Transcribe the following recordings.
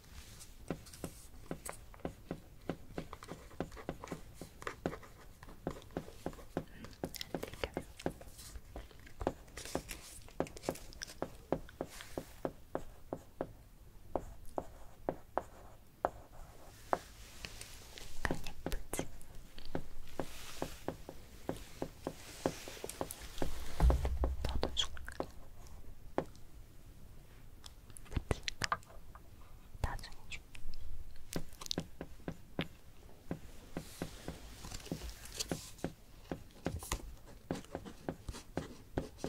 예쁘지? 너도 줄까? 그치? 나중에 줄게. 몇분 남았어?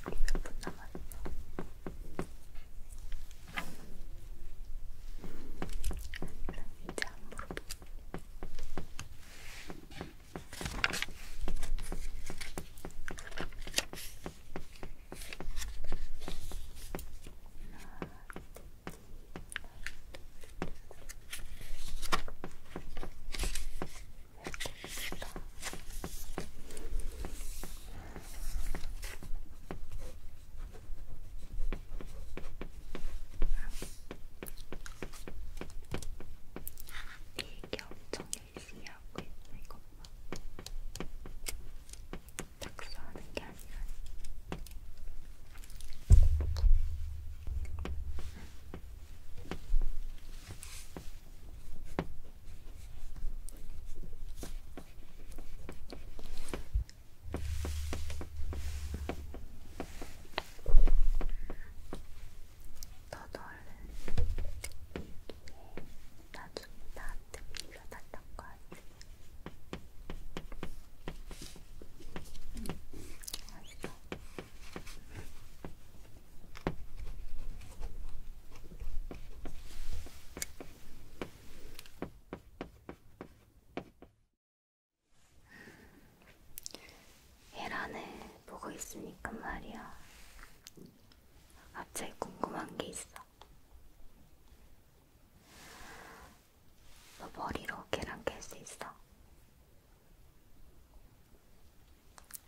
몇분 남았어? 이제 안 물어볼게. 하나, 둘, 셋, 넷, 일기 엄청 열심히 하고 있어 이것만 낙서하는 게 아니라 너도 얼른 나중에 나한테 빌려달란 거 아니지? 알겠어. 계란을 보고 있으니까 말이야. 갑자기 아, 궁금한 게 있어. 너 머리로 계란 캘수 있어?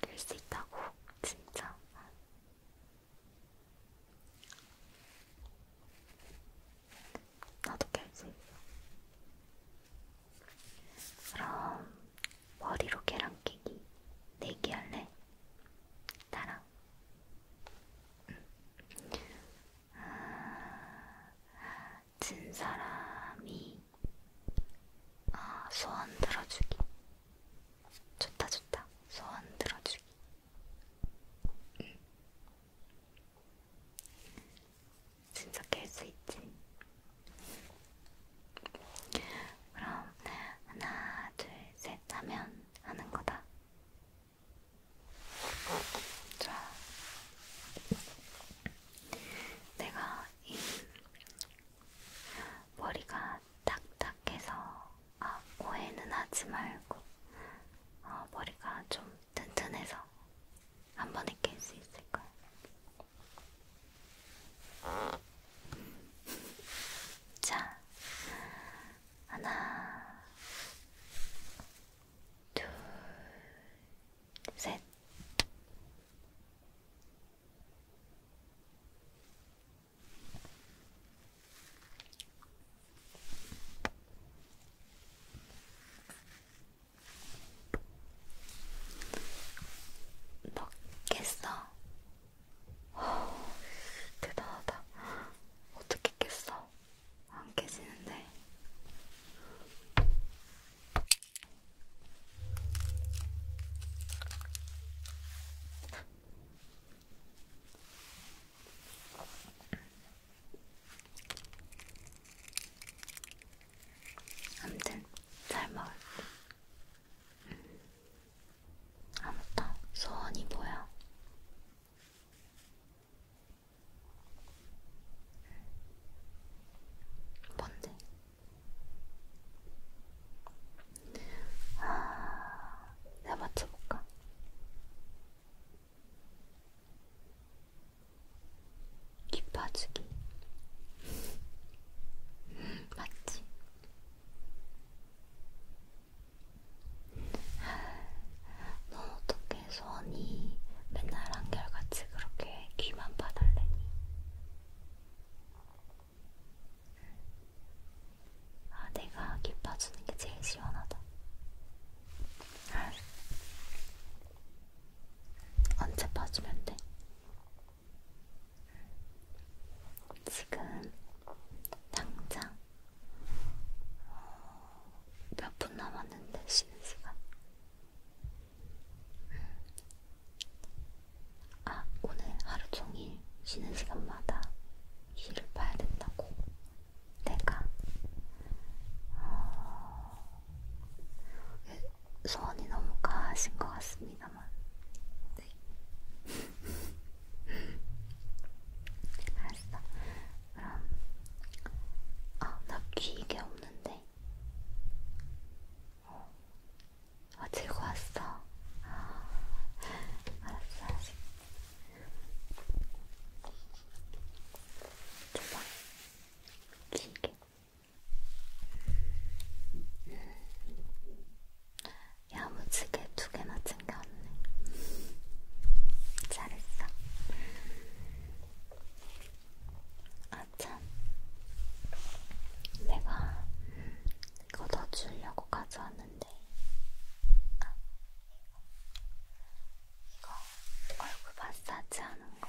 될수 있다고 진짜 나도 깰 수 있어. 그럼 머리로 계란 깨기 내기 할래? 나랑? 응. 아, 같은 사람이 아, 소원 들어주기. 좋다, 좋다. 소원 들어주기. 응. 진짜 깰 수 있지. 그럼 하나, 둘, 셋 하면 하는 거다. 좋아. 내가 이 머리가 딱딱해서 아, 오해는 하지 말고 어, 머리가 좀 튼튼해서 한 번에 깰 수 있을 거야. 자, 하나, 둘, 셋. 넣겠어. 대단하다. 어떻게 깼어? 안 깨지는데. 아무튼 잘 먹을게. 음. 아 맞다. 소원이 뭐야? 뭔데? 아, 내가 맞춰볼까? 깊어지기 맞지? 넌 어떻게 소원이 맨날 한결같이 그렇게 귀만 파달래니? 아, 내가 기뻐주는 게 제일 시원하다. 언제 봐주면 돼? 지금 당장 어, 몇분 남았는데 쉬는 시간? 음. 아, 오늘 하루 종일 쉬는 시간마다 시를 봐야 된다고. 내가 어... 소원이 너무 가신 것 같습니다만. 네. 네. 알았어. 그럼 아, 나귀 이게 없는데. 어, 즐거웠어. 아, 알았어, 알았어. 줘봐. 길게. 야무지게 두 개나 챙겨왔네. 잘했어. 아참 내가 걷어주려고 가져왔는데 아 이거 이거 얼굴 마사지 하는 거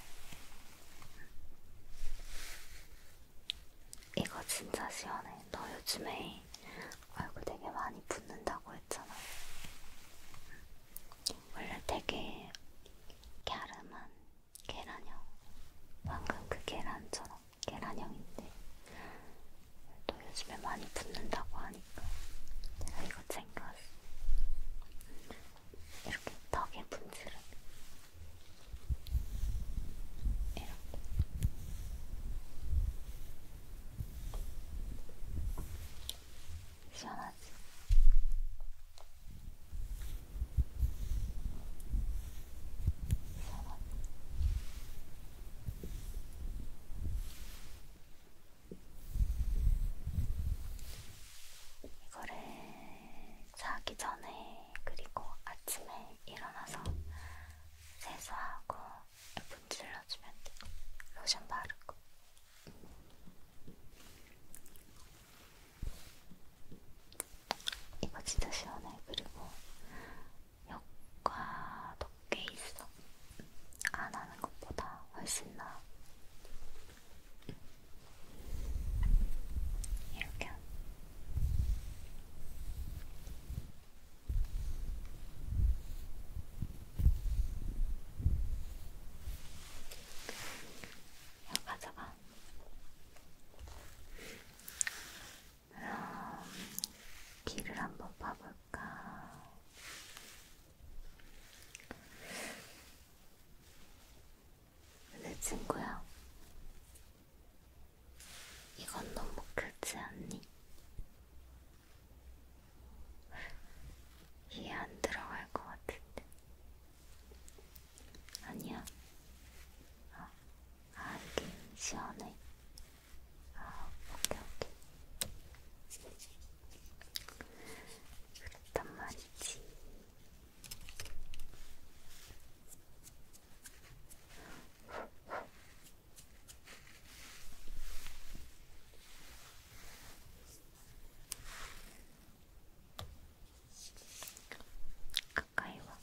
이거 진짜 시원해 너 요즘에 얼굴 되게 많이 붓는다고 했잖아 원래 되게 갸름한 계란형. 방금 그 계란처럼 계란형인데 또 요즘에 많이 붙는다고 하니까 내가 이거 챙겨왔어. 이렇게 덕에 분칠은 이렇게 시원하지? 이거를 자기 전에 그리고 아침에 일어나서 세수하고 분질러주면 돼. 로션 바르고 이거 진짜 시원해. 그리고 효과도 꽤 있어. 안 하는 것보다 훨씬 나아. 이렇게. 야, 가져가. 그럼 음, 귀를 한번 봐볼까? 내 친구야, 이건 너무 크지 않니? 이해 안 들어갈 것 같은데. 아니야. 아, 아 이게 시원해. 아, 오케이, 오케이. 그랬단 말이지. 가까이 와.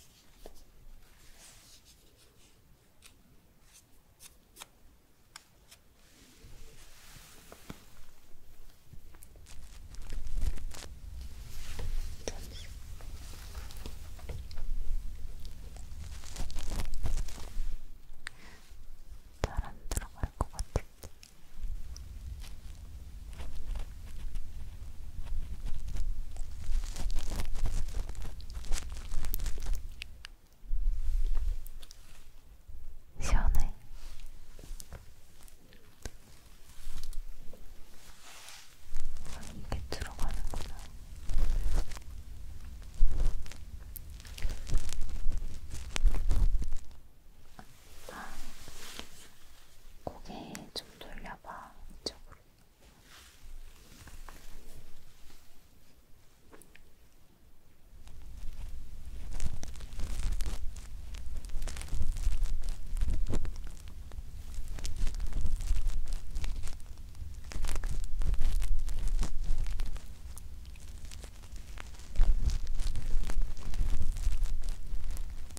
잠시. 잘안 들어갈 것 같은데. 시원해. 이게 들어가는구나. 아, 고개 좀 돌려. 내려봐 이쪽으로.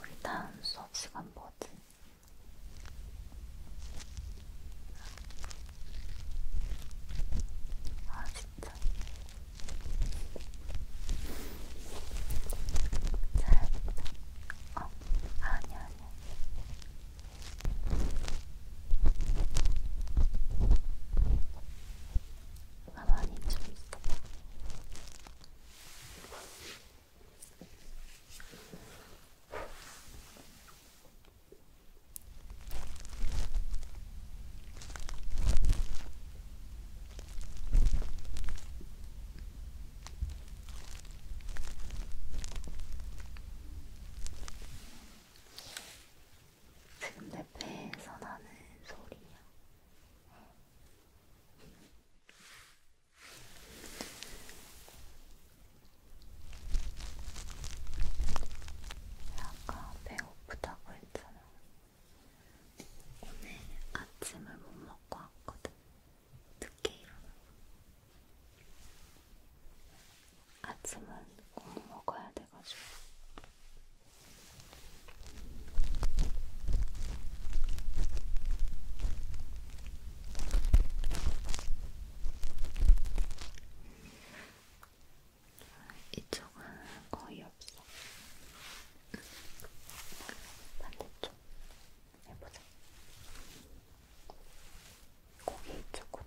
우리 다음 수업 시간 뭐지? 아 진짜 잘했다 어, 아니야, 아니야. 가만히 좀 있어. 지금 내 배에서 나는 소리야. 아까 배고프다고 했잖아. 오늘 아침을 못 먹고 왔거든. 늦게 일어나고 아침은 꼭 먹어야 돼가지고 이쪽은 거의 없어. 반대쪽. 해보자. 고기 쪽으로.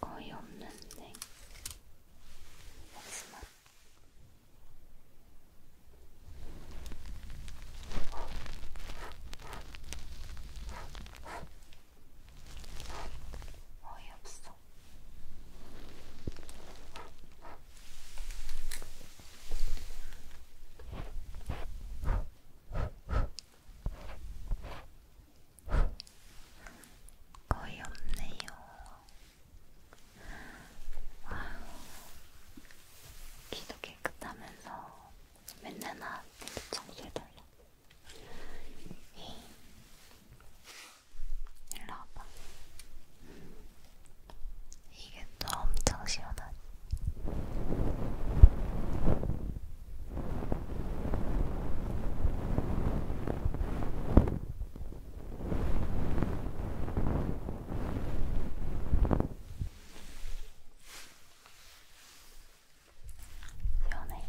거의 없는데 하지만 어이없어 있어. 거의 없네요. 아유, 기도 깨끗하면서 맨날 나한테 청소해달라. 일로 와봐. 이게 또 엄청 시원하지. 시원해.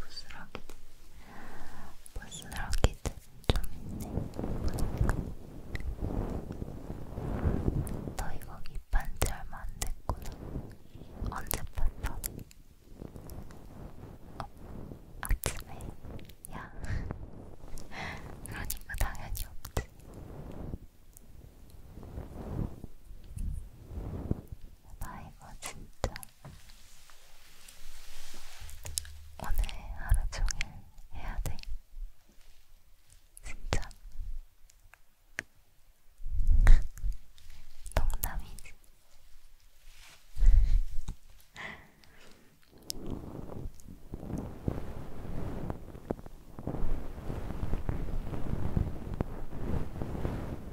부스러기들, 부스러기들 좀 있네. 보니까. 너 이거 입반지 얼마 안 됐구나. 언제 봤어? 어, 아침에? 야. 그러니까 당연히 없지. 나 이거 진짜 오늘 하루 종일 해야 돼. 진짜. 동남이지.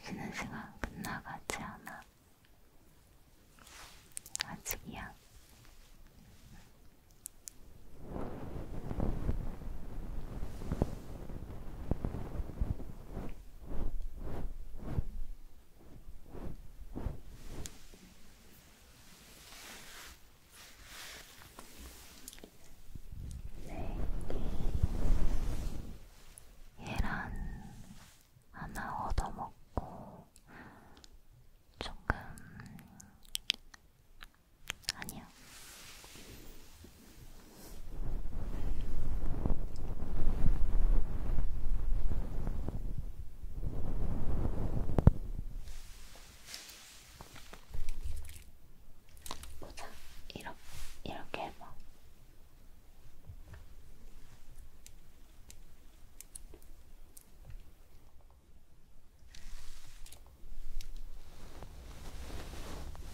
쉬는 시간 끝나가지 않아. 아직이야. 계란 하나 얻어먹고 조금 아니야 보자. 이렇게, 이렇게 해봐.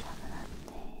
자면 안 돼.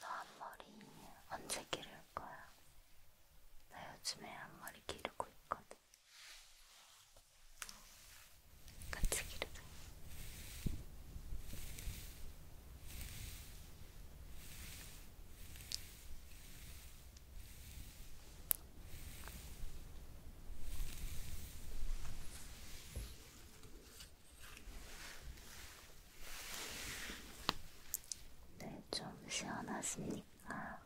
너 앞머리 언제 기를 거야? 나 요즘에 앞머리 기르고 있거든. 같이 기르자. 네, 좀 시원하십니까?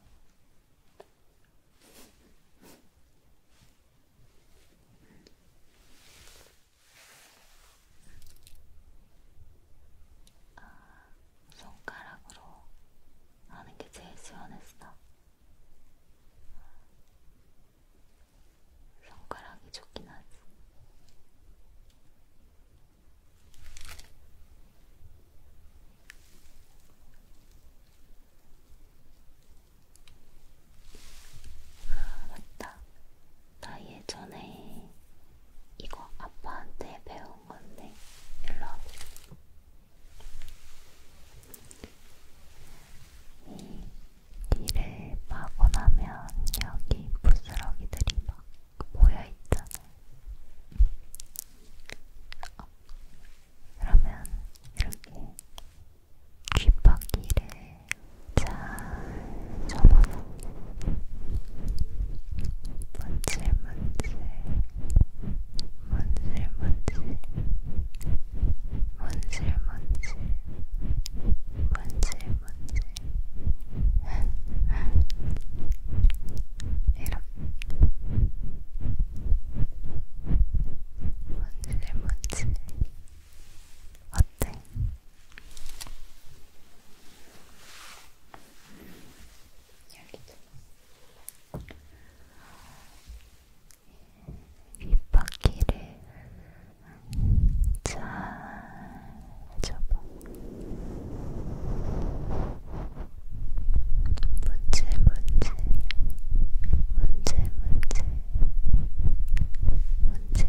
아, 손가락으로 하는 게 제일 시원했어. 손가락이 좋긴 하지. 아, 맞다. 나 예전에 이거 아빠한테 배운 건데 일로 와. 이 귀를 마고 나면 여기 부스러기들이 막 모여있잖아. 어. 그러면 이렇게 귓바퀴를 잘 접어서 문질문질 문질문질 문질문질 문질문질 이렇게 문질문질 어때? 여기도 윗바퀴를 잘 접어 문제 문제 문제 문제 문제 문제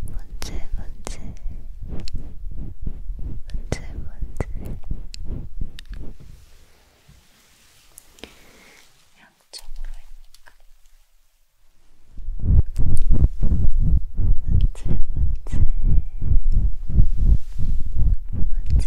문제 문제 문제 문제 양쪽으로 해볼까? 문제 문제 문제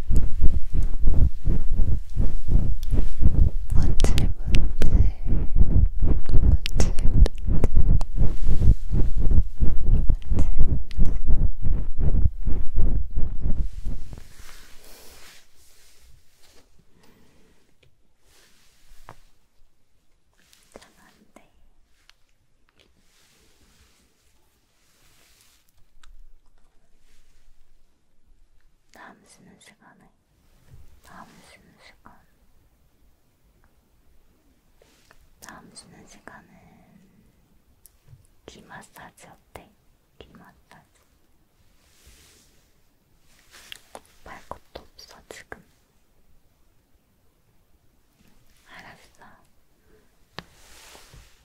잘 안돼. 다음 쉬는 시간에 다음 쉬는 시간 다음 쉬는 시간은 귀 마사지 어때? 귀 마사지 말 것도 없어 지금 알았어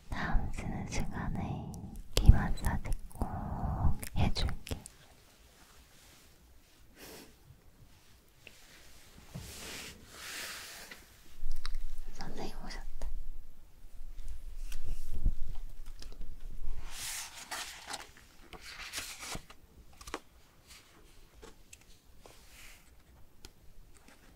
다음 쓰는 시간에 귀 마사지 꼭 해줄게. 선생님 오셨다.